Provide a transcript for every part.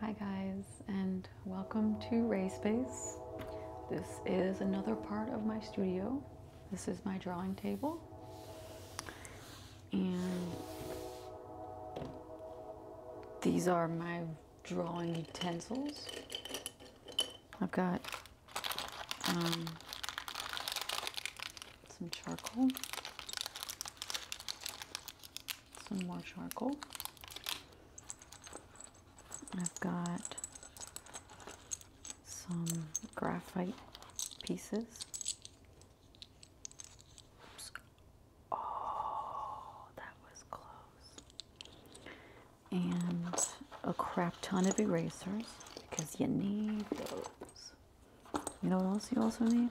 Hi guys and welcome to Ray Space. This is another part of my studio. This is my drawing table. And these are my drawing utensils. I've got um, some charcoal, some more charcoal. I've got some graphite pieces. Oh, that was close and a crap ton of erasers because you need those. You know what else you also need?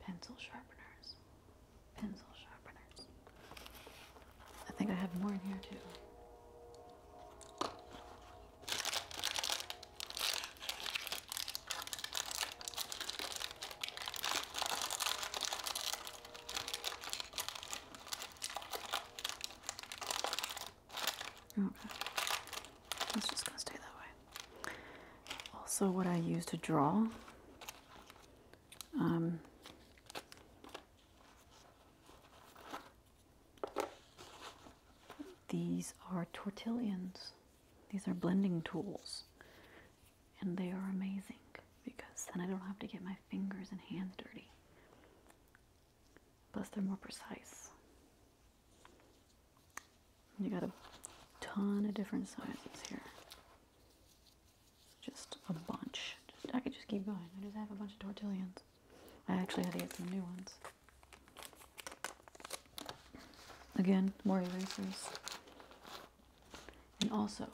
Pencil sharpeners. Pencil sharpeners. I think I have more in here too. Okay. It's just going stay that way. Also, what I use to draw. Um, these are tortillians. These are blending tools and they are amazing because then I don't have to get my fingers and hands dirty. Plus, they're more precise. You got a ton of different sizes here. Just a bunch. I could just keep going. I just have a bunch of tortillions. I actually had to get some new ones. Again, more erasers. And also,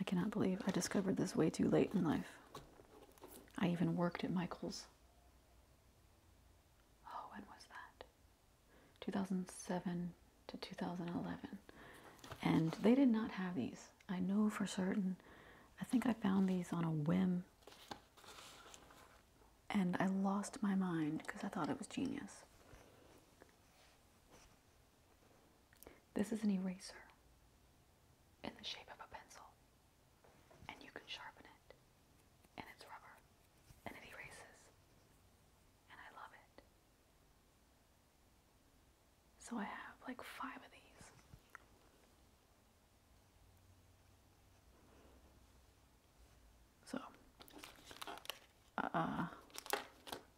I cannot believe I discovered this way too late in life. I even worked at Michael's. Oh, when was that? 2007 to 2011. And they did not have these. I know for certain. I think I found these on a whim. And I lost my mind because I thought it was genius. This is an eraser in the shape of a pencil, and you can sharpen it, and it's rubber, and it erases, and I love it. So I have like five of these. So uh,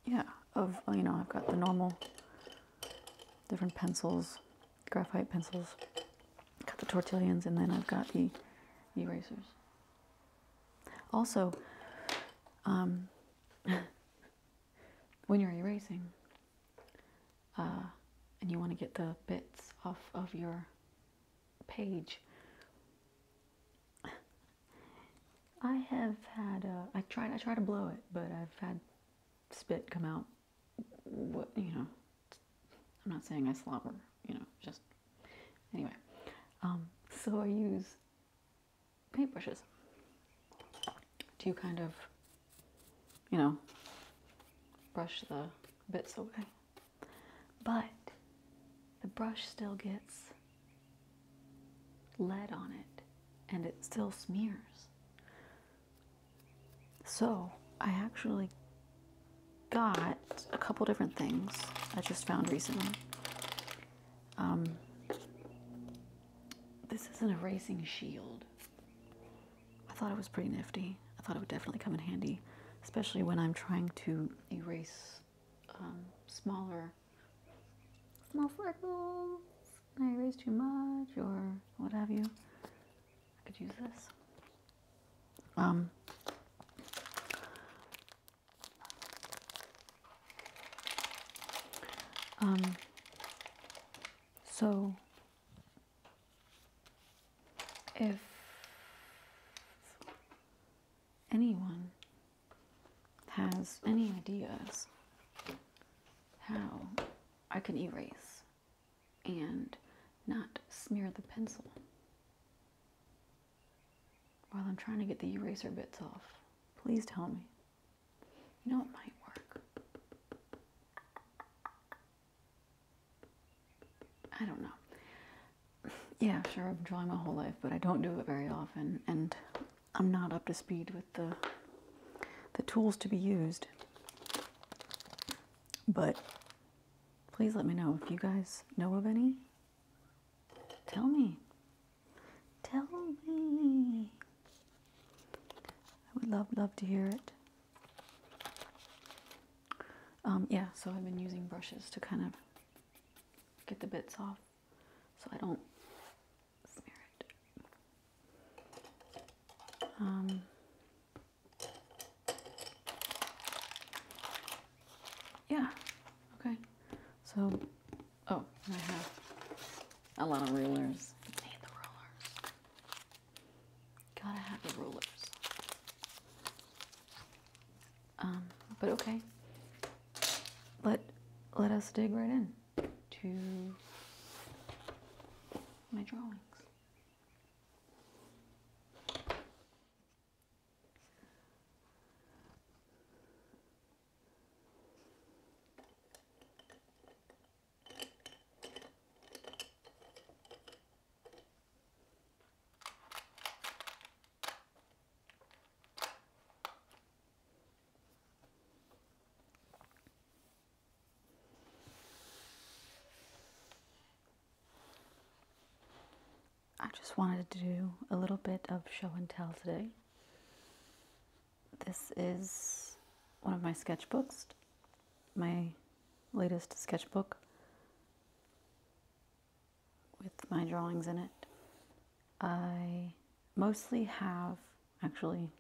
yeah, of, you know, I've got the normal different pencils, graphite pencils, got the tortillions, and then I've got the erasers. Also, um, when you're erasing, uh, and you want to get the bits off of your page, I have had uh, I tried I try to blow it, but I've had spit come out. What you know? I'm not saying I slobber. You know, just anyway. Um, so I use paintbrushes to kind of, you know, brush the bits away. But the brush still gets lead on it and it still smears. So I actually got a couple different things I just found recently. Um, this is an erasing shield. I thought it was pretty nifty. I thought it would definitely come in handy, especially when I'm trying to erase um, smaller small freckles, I raise too much, or what have you. I could use this. Um, um, so if anyone has any ideas how I can erase and not smear the pencil while I'm trying to get the eraser bits off. Please tell me. You know, it might work. I don't know. Yeah, sure, I've drawn my whole life, but I don't do it very often. And I'm not up to speed with the the tools to be used. But please let me know if you guys know of any. Tell me. Tell me. I would love, love to hear it. Um, yeah, so I've been using brushes to kind of get the bits off so I don't um, yeah, okay. So, oh, I have a lot of rulers. need the rulers. Gotta have the rulers. Um, but okay let let us dig right in to my drawings. I just wanted to do a little bit of show and tell today. This is one of my sketchbooks, my latest sketchbook with my drawings in it. I mostly have actually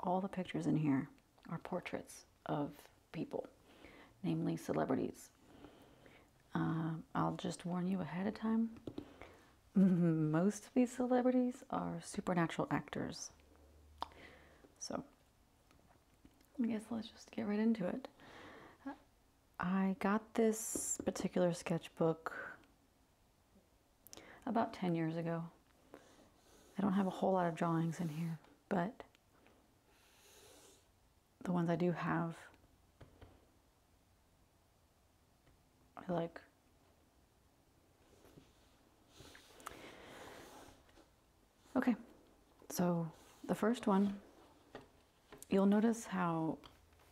all the pictures in here are portraits of people, namely celebrities. Um, I'll just warn you ahead of time. Most of these celebrities are supernatural actors. So, I guess let's just get right into it. I got this particular sketchbook about 10 years ago. I don't have a whole lot of drawings in here, but the ones I do have, I like. Okay, so the first one you'll notice how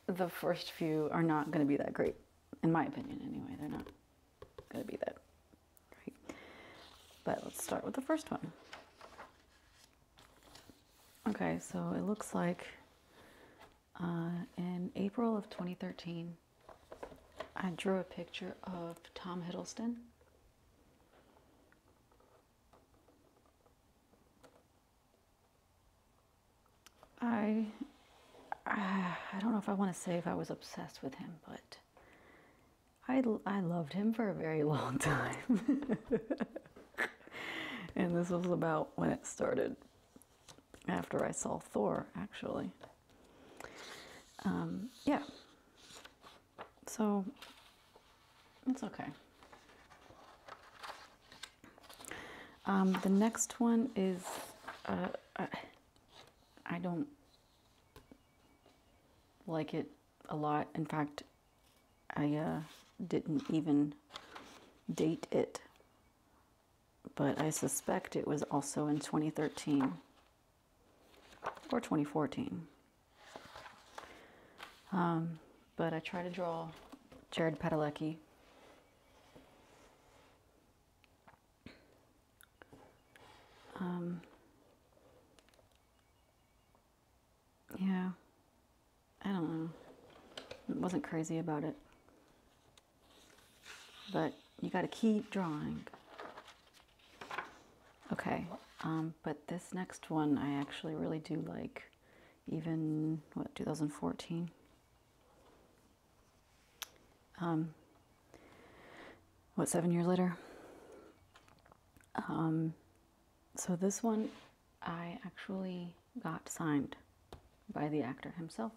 the first few are not going to be that great. In my opinion, anyway, they're not going to be that great. But let's start with the first one. Okay, so it looks like uh, in April of 2013, I drew a picture of Tom Hiddleston. I I don't know if I want to say if I was obsessed with him, but I, I loved him for a very long time. and this was about when it started, after I saw Thor, actually. Um, yeah. So, it's okay. Um, the next one is, uh, I don't like it a lot. In fact, I uh, didn't even date it, but I suspect it was also in 2013 or 2014. Um, but I try to draw Jared Padalecki um, yeah, I don't know. I wasn't crazy about it. But you got to keep drawing. Okay, um, but this next one I actually really do like even what 2014. Um, what seven years later? Um, so this one I actually got signed by the actor himself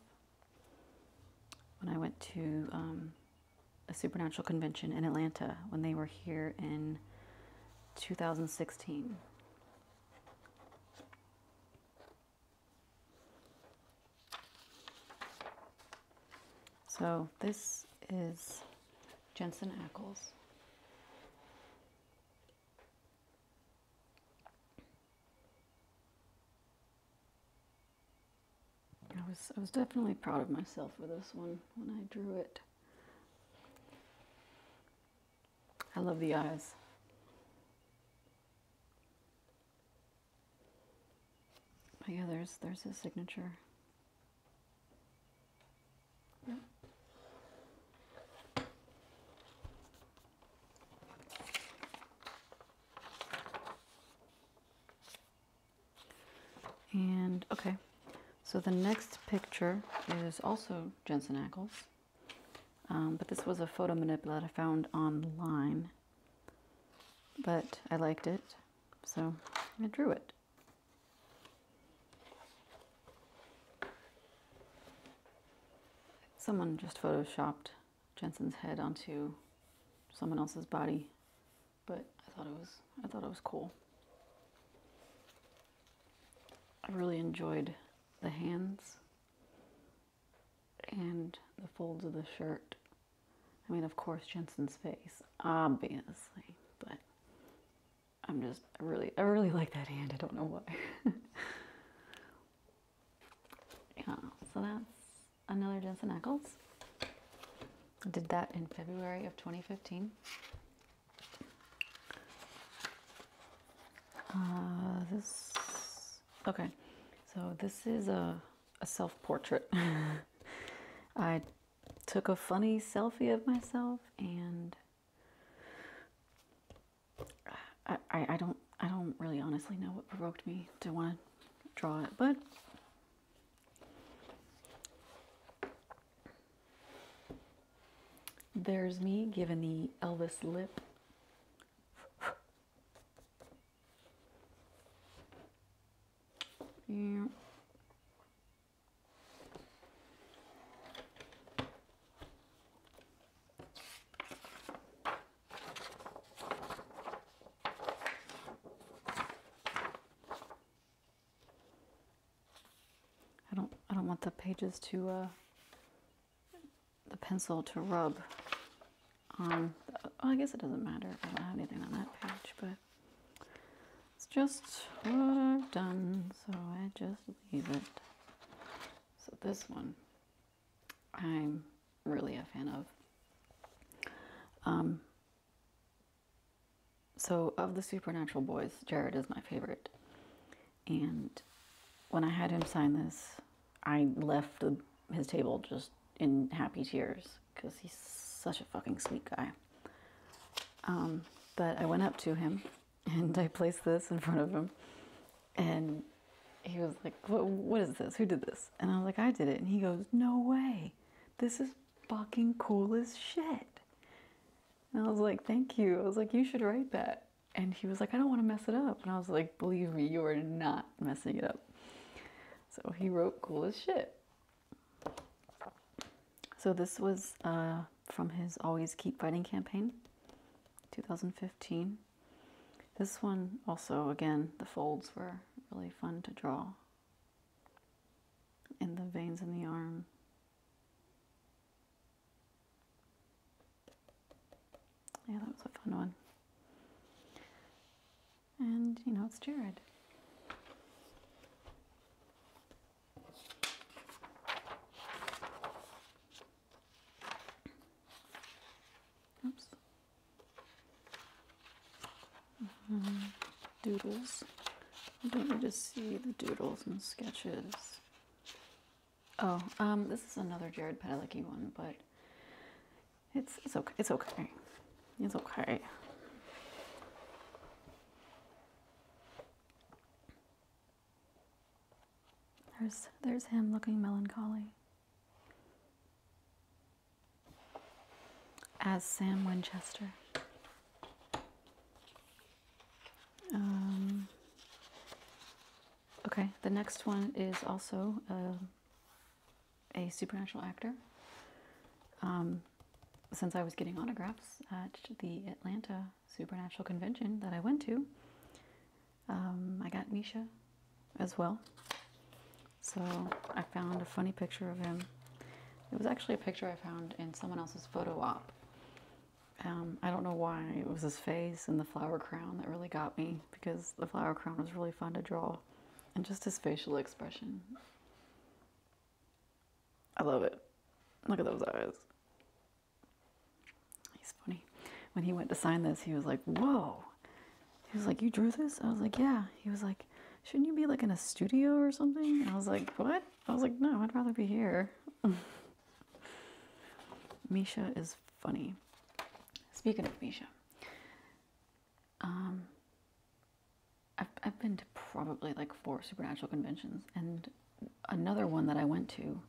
when I went to um, a supernatural convention in Atlanta when they were here in 2016. So this is Jensen Ackles. I was, I was definitely proud of myself for this one when I drew it. I love the eyes. But yeah, there's there's his signature. And okay, so the next picture is also Jensen Ackles. Um, but this was a photo manipulator I found online. But I liked it, so I drew it. Someone just photoshopped Jensen's head onto someone else's body, but I thought it was I thought it was cool. I really enjoyed the hands and the folds of the shirt. I mean, of course, Jensen's face, obviously, but I'm just I really, I really like that hand. I don't know why. yeah, so that's another Jensen Ackles. I did that in February of 2015. Uh, this, okay, so this is a, a self-portrait. I took a funny selfie of myself and I, I, don't I don't really honestly know what provoked me to want to draw it, but there's me giving the Elvis lip. yeah. I don't I don't want the pages to uh, the pencil to rub on. Oh, I guess it doesn't matter I don't have anything on that page, but it's just what I've done, so I just leave it. So this one, I'm really a fan of. Um, so of the supernatural boys, Jared is my favorite. And when I had him sign this, I left his table just in happy tears because he's such a fucking sweet guy. Um, but I went up to him and I placed this in front of him. And he was like, what, what is this? Who did this? And I was like, I did it. And he goes, No way. This is fucking cool as shit. And I was like, Thank you. I was like, You should write that and he was like, I don't want to mess it up. And I was like, believe me, you are not messing it up. So he wrote cool as shit. So this was uh, from his Always Keep Fighting campaign, 2015. This one also, again, the folds were really fun to draw. And the veins in the arm yeah, that was a fun one. And, you know, it's Jared. Oops. Mm-hmm. doodles. I don't need to see the doodles and sketches. Oh, um, this is another Jared Padalecki one, but it's it's okay. It's okay. It's okay. There's there's him looking melancholy. As Sam Winchester. Um, okay, the next one is also uh, a, supernatural actor. Um, since I was getting autographs at the Atlanta Supernatural Convention that I went to, um, I got Misha as well. So I found a funny picture of him. It was actually a picture I found in someone else's photo op. Um, I don't know why it was his face and the flower crown that really got me because the flower crown was really fun to draw and just his facial expression. I love it. Look at those eyes. He's funny. When he went to sign this, he was like, Whoa. He was like, You drew this? I was like, Yeah. He was like, Shouldn't you be like in a studio or something? And I was like, What? I was like, No, I'd rather be here. Misha is funny. Speaking of Misha, um, I've, I've been to probably like four supernatural conventions, and another one that I went to,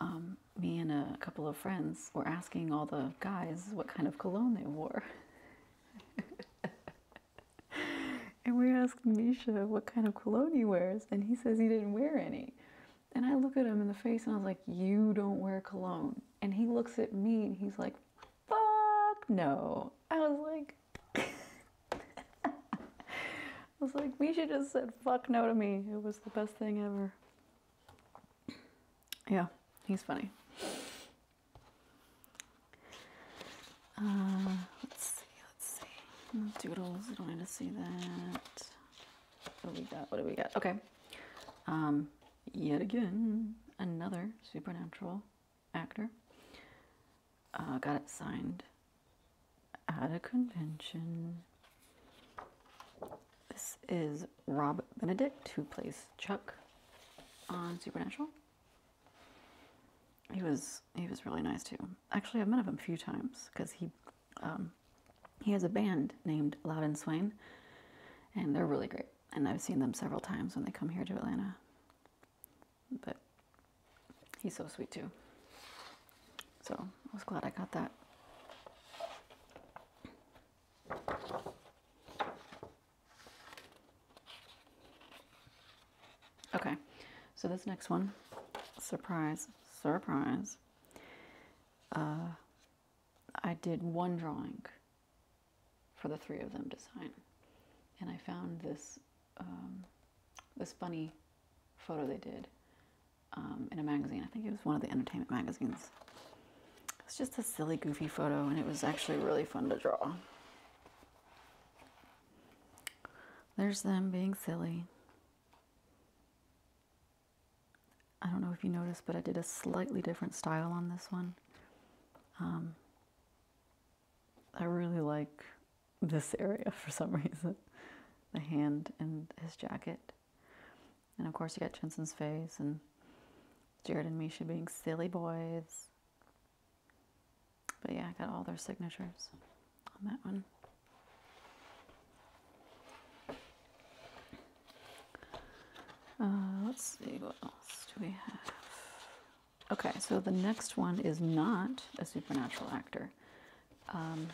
um, me and a couple of friends were asking all the guys what kind of cologne they wore. and we asked Misha what kind of cologne he wears, and he says he didn't wear any. And I look at him in the face and I was like, You don't wear cologne. And he looks at me and he's like, Fuck no. I was like, I was like, Misha just said fuck no to me. It was the best thing ever. Yeah, he's funny. Uh, let's see, Let's see. Doodles, I don't need to see that. What do we got? What do we got? Okay. Um, yet again, another supernatural actor. Uh, got it signed at a convention. This is Rob Benedict, who plays Chuck on Supernatural he was he was really nice too. Actually, I've met him a few times because he um, he has a band named Loud and Swain, and they're really great. And I've seen them several times when they come here to Atlanta. But he's so sweet too. So I was glad I got that. Okay, so this next one, surprise, surprise. Uh, I did one drawing for the three of them to sign, and I found this um, this funny photo they did um, in a magazine. I think it was one of the entertainment magazines. It's just a silly, goofy photo, and it was actually really fun to draw. There's them being silly. I don't know if you noticed, but I did a slightly different style on this one. Um, I really like this area for some reason. The hand and his jacket. And of course you got Jensen's face and Jared and Misha being silly boys. But yeah, I got all their signatures on that one. Uh, let's see, what else do we have? Okay, so the next one is not a supernatural actor. Um,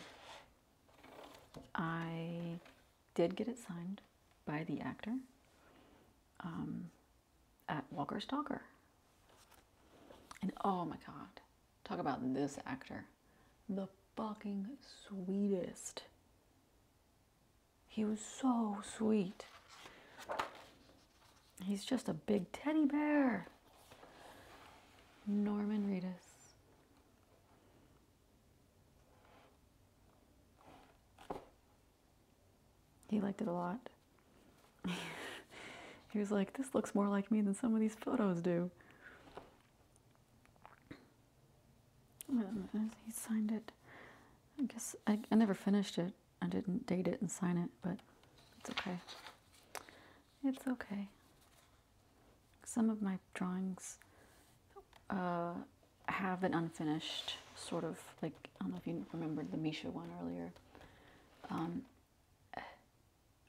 I did get it signed by the actor um, at Walker Stalker. And oh my God, Talk about this actor. The fucking sweetest. He was so sweet. He's just a big teddy bear. Norman Reedus. He liked it a lot. he was like, This looks more like me than some of these photos do. Um, he signed it. I guess I, never finished it. I didn't date it and sign it, but it's okay. It's okay. Some of my drawings uh, have an unfinished sort of like I don't know if you remembered the Misha one earlier. Um,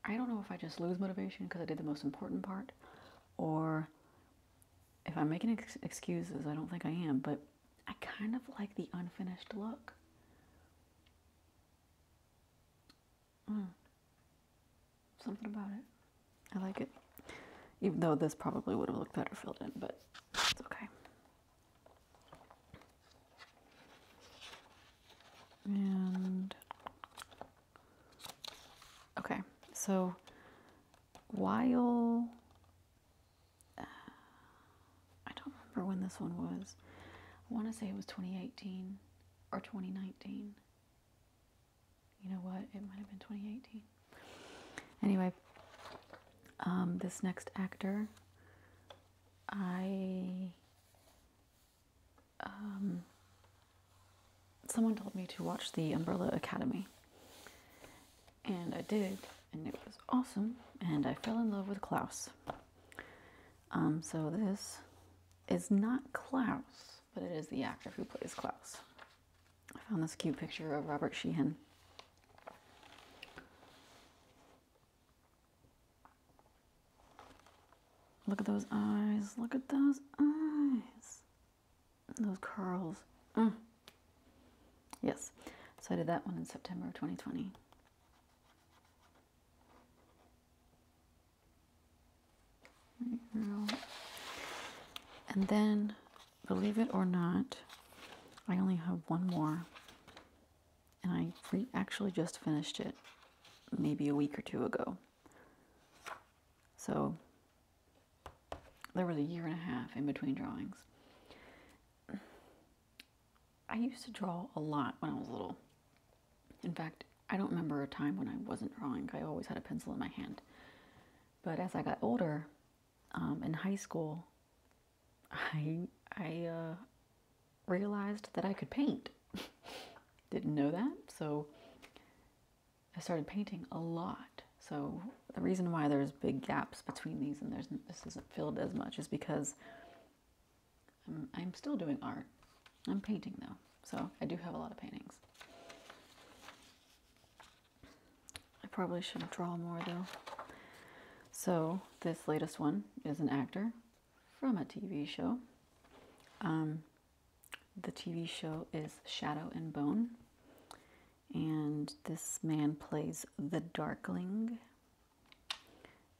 I don't know if I just lose motivation because I did the most important part, or if I'm making excuses, I don't think I am, but I kind of like the unfinished look. Mm. Something about it. I like it. Even though this probably would have looked better filled in, but it's okay. And okay, so while uh, I don't remember when this one was, I want to say it was 2018 or 2019. You know what? It might have been 2018. Anyway, um, this next actor, I um, someone told me to watch the Umbrella Academy. And I did, and it was awesome, and I fell in love with Klaus. Um, so this is not Klaus, but it is the actor who plays Klaus. I found this cute picture of Robert Sheehan. Look at those eyes. Look at those eyes. Those curls. Mm. Yes. So I did that one in September of 2020. And then, believe it or not, I only have one more and I actually just finished it maybe a week or two ago. So there was a year and a half in between drawings. I used to draw a lot when I was little. In fact, I don't remember a time when I wasn't drawing. I always had a pencil in my hand. But as I got older, um, in high school, I I uh, realized that I could paint. Didn't know that, so I started painting a lot. So the reason why there's big gaps between these and there's this isn't filled as much is because I'm, I'm still doing art. I'm painting though, so I do have a lot of paintings. I probably should draw more though. So this latest one is an actor from a TV show. Um, the TV show is Shadow and Bone, and this man plays the Darkling.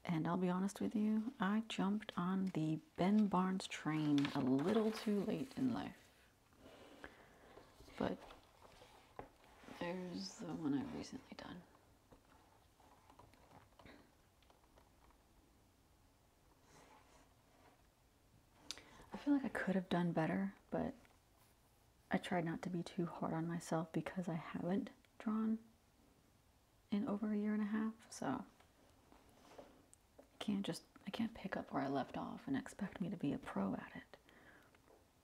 And I'll be honest with you, I jumped on the Ben Barnes train a little too late in life. But there's the one I've recently done. I feel like I could have done better, but I tried not to be too hard on myself because I haven't drawn in over a year and a half, so I can't just I can't pick up where I left off and expect me to be a pro at it.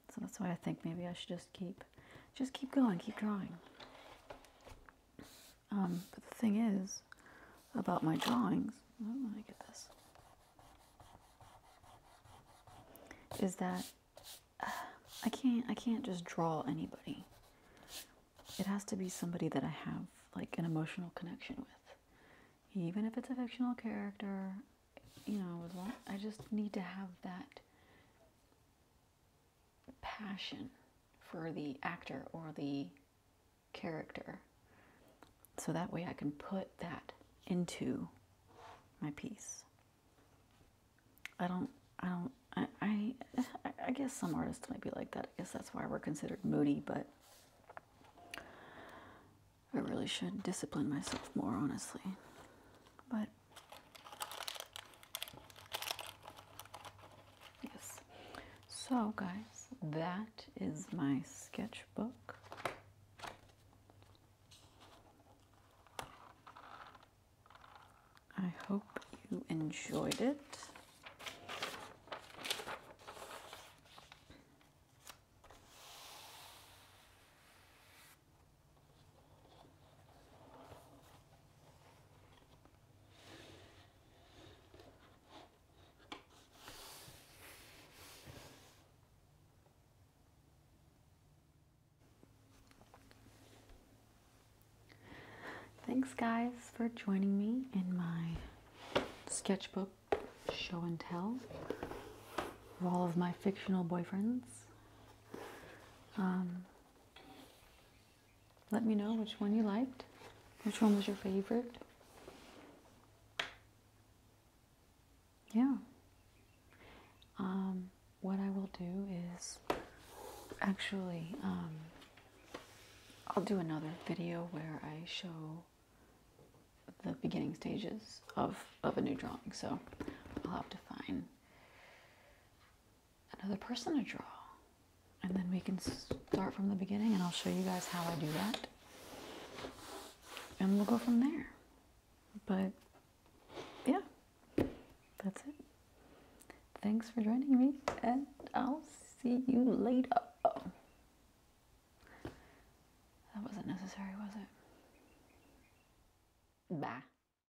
So that's why I think maybe I should just keep just keep going, keep drawing. Um, but the thing is about my drawings, let me get this, is that uh, I can't I can't just draw anybody. It has to be somebody that I have like an emotional connection with, even if it's a fictional character. You know, I just need to have that passion for the actor or the character. So that way I can put that into my piece. I don't, I don't, I, I, guess some artists might be like that. I guess that's why we're considered moody, but I really should discipline myself more, honestly. But Yes. So, guys, that is my sketchbook. I hope you enjoyed it. Thanks, guys, for joining me in my sketchbook show and tell of all of my fictional boyfriends. Um, let me know which one you liked, which one was your favorite. Yeah. Um, what I will do is actually, um, I'll do another video where I show the beginning stages of, of a new drawing. So I'll have to find another person to draw. And then we can start from the beginning and I'll show you guys how I do that. And we'll go from there. But yeah, that's it. Thanks for joining me and I'll see you later. That wasn't necessary, was it? Bye.